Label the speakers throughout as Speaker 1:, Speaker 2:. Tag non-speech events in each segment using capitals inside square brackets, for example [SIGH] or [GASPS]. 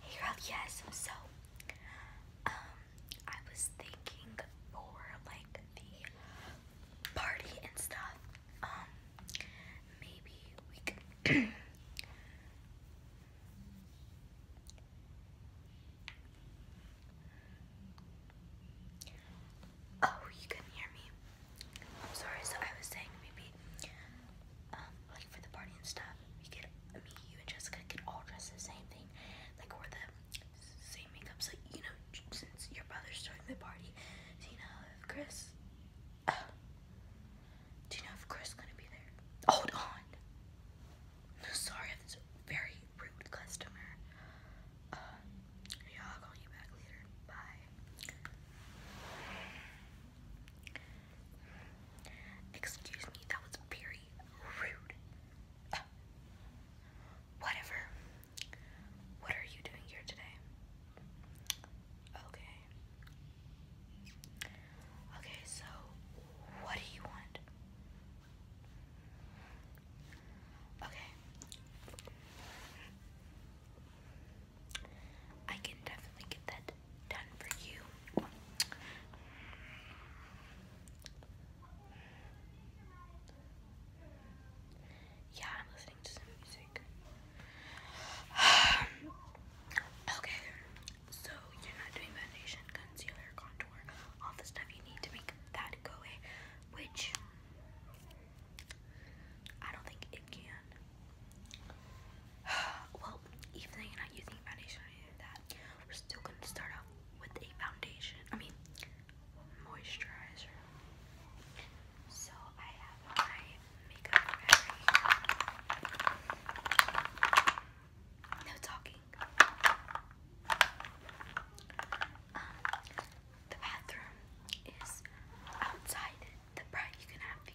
Speaker 1: Hey girl, yes, so um I was thinking for like the party and stuff, um maybe we could [CLEARS THROAT] Oh, you couldn't hear me. I'm sorry, so I was saying maybe um, for the party and stuff, we could, me, you, and Jessica could all dress the same thing, like wear the same makeup. So you know, since your brother's throwing the party, do you know if Chris? Uh, [SIGHS] do you know if Chris gonna be there? Hold on. No, sorry, that's a very rude customer. yeah, uh, I'll call you back later. Bye. Excuse me, that was very rude. Ah. whatever. What are you doing here today? Okay. Okay, so what do you want? Okay. I can definitely get that done for you. Yeah, I'm listening to some music. [SIGHS] okay, so you're not doing foundation, concealer, contour, all the stuff you need to make that go away, which I don't think it can. [SIGHS] well, even though you're not using foundation or anything like that, we're still gonna start off with a foundation. I mean, moisturizer. So I have my makeup ready. No talking. Um, the bathroom is outside the bright you can have the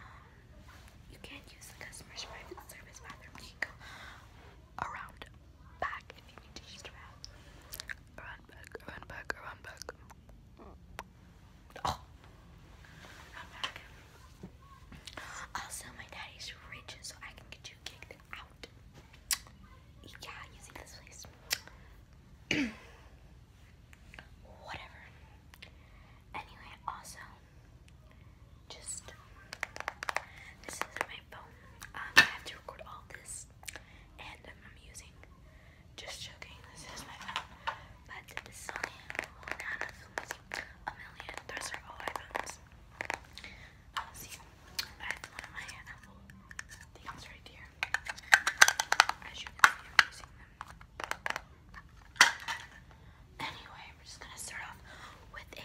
Speaker 1: um you can't use the customer's private service bathroom. You can go around back the bathroom. Around back, around back, around back. Oh around back. Also my daddy's rich so I can get you kicked out. Yeah, using this place. [CLEARS THROAT] whatever. Anyway, also, just this is my phone. Um, I have to record all this, and I'm using. Just joking. This is my phone, but this is only one out of a million. Those are all iPhones. Uh, um, see, I have one of my Apple things right here. As you can I'm using them. Anyway, we're just gonna start off with a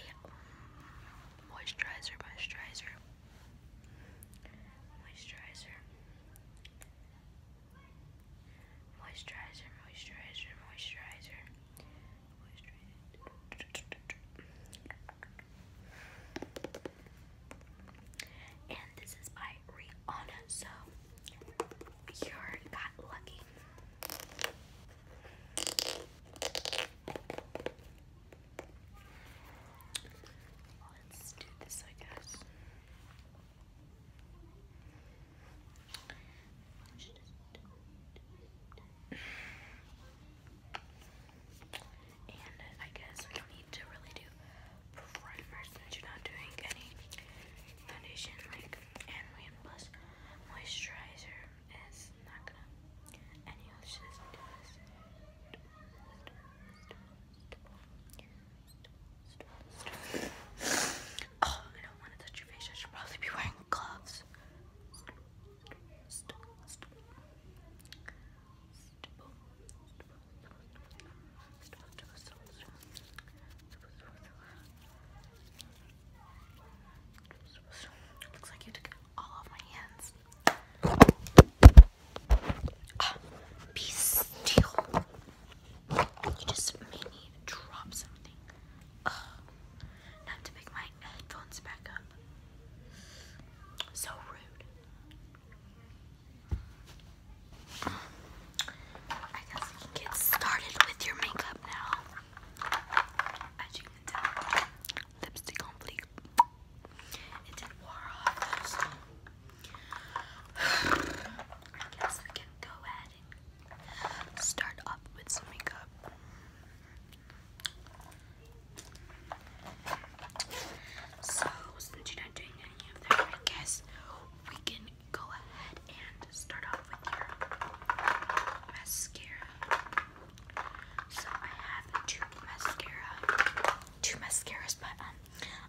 Speaker 1: moisturizer, moisturizer, moisturizer, moisturizer, moisturizer, moisturizer. moisturizer. And this is by Rihanna, so you got lucky. Let's do this, I guess. And I guess we don't need to really do primer since you're not doing any foundation like and plus moisturizer is not gonna any of this Oh, I don't want to touch your face. I should probably be wearing gloves. Looks like you took all off my hands. be ah, still. You just made me drop something. Ugh. to pick my headphones back up. So rude. I guess we can get started with your makeup now. lipstick on fleek. I guess we can go ahead and start off with some makeup. So, since you're not doing any of that, I guess we can go ahead and start off with your mascara. So, I have two mascaras, but um,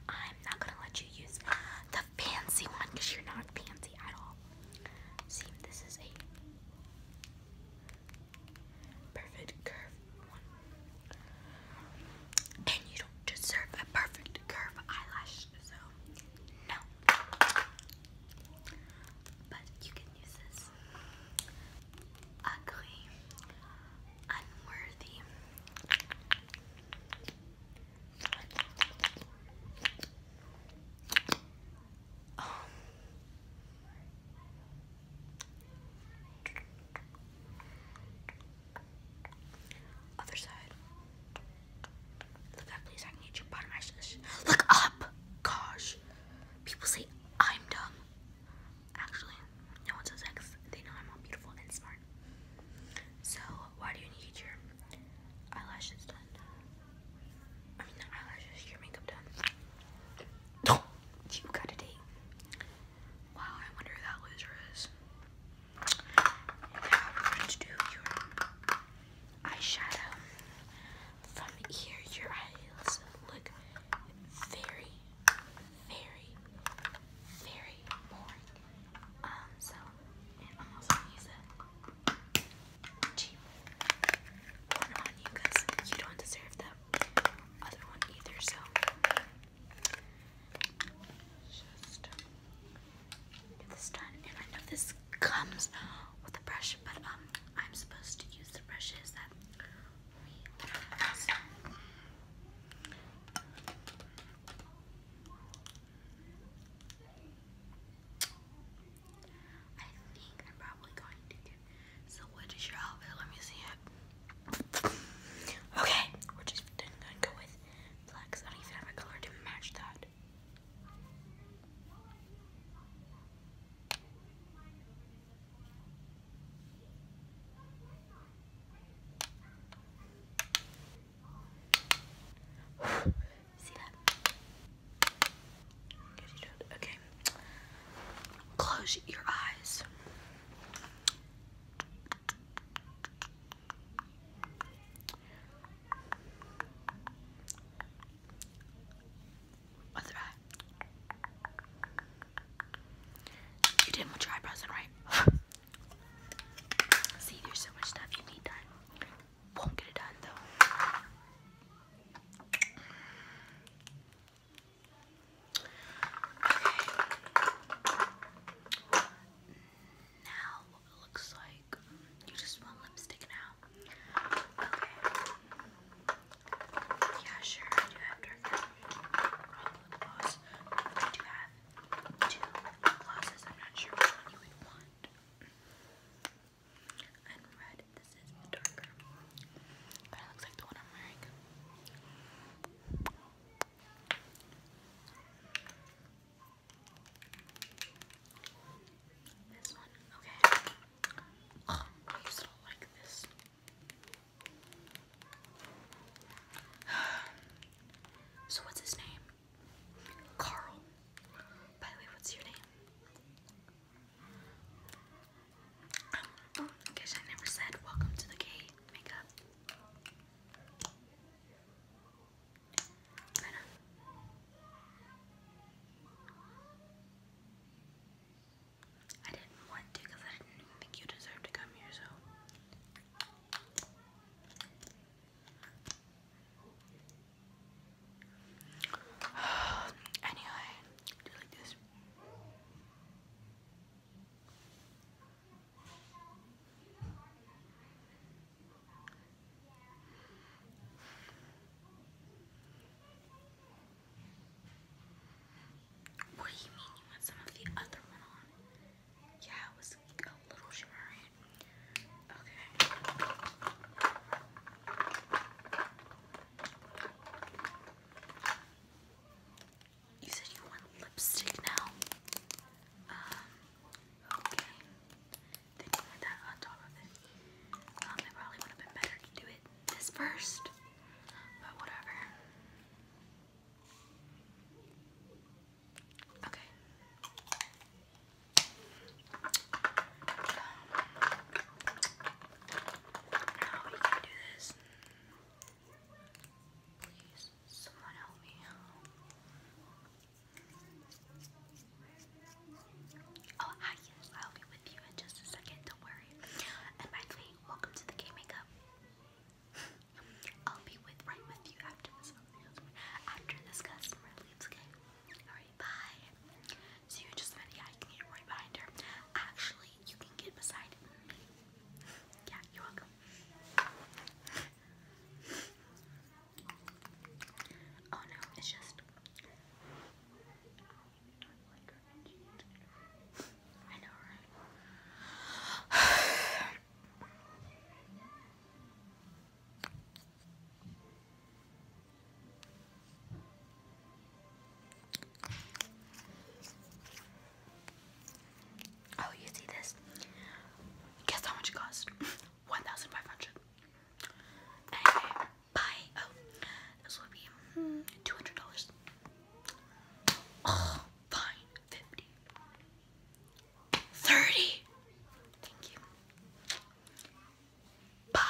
Speaker 1: I'm not gonna let you use the fancy one because you're not fancy at all. See, this is a perfect curve and you don't deserve a perfect curve eyelash, so no. But you can use this ugly, unworthy. Other side. Look up, Gosh. People say I'm dumb. Actually, no one says that they know I'm all beautiful and smart. So, why do you need your eyelashes done? I mean, eyelashes, your makeup done. [GASPS] you got a date. Wow, I wonder who that loser is. Now to do your eyeshadow. From here, your eyes look very, very, very boring. Um, so i also use a cheap one on you because you don't deserve that other one either. So. Just get this done. And I know this comes with a brush, but um, I'm supposed to use the brushes that we have. I think I'm probably going to get so what is your outfit? Let me see it. Okay, we're just gonna go with black I don't have a color to match that. See that? Okay. Close your eyes. Other eye. You did much eyebrows in, right? [LAUGHS] See, there's so much stuff you need done. Won't get it done though. Now it looks like you just want lipstick now. Yeah, sure. I do have dark lip gloss. I do have two glosses. I'm not sure which one you would want. And red. This is the this one, okay. Oh, I used to like this. [SIGHS] So what's his name? Carl. By the way, what's your name? Oh, my gosh! I never said welcome to the gay makeup. I didn't want to because I didn't think you deserved to come here, so. [SIGHS] anyway, what do you mean you want some of the other one on? Yeah, it was a little shimmery. Okay. You said you want lipstick now? Um, okay. Then you that on top of it. Um, it probably would have been better to do it this first, but whatever. Okay. No, oh, you can do this. Please, someone help me. Oh, hi, I'll be with you in just a second, don't worry. And by the way, welcome to the K Makeup. I'll be with right with you after this after this customer leaves, okay? Alright, bye. So you just meant yeah, I can get right behind her. Actually, you can get beside Yeah, you're welcome. Oh no, it's just. I know, right? Oh, you see this? Guess how much it cost? [LAUGHS] 1500 bye. Oh, this will be hmm, $200. Oh, fine. 50 30 Thank you. Bye.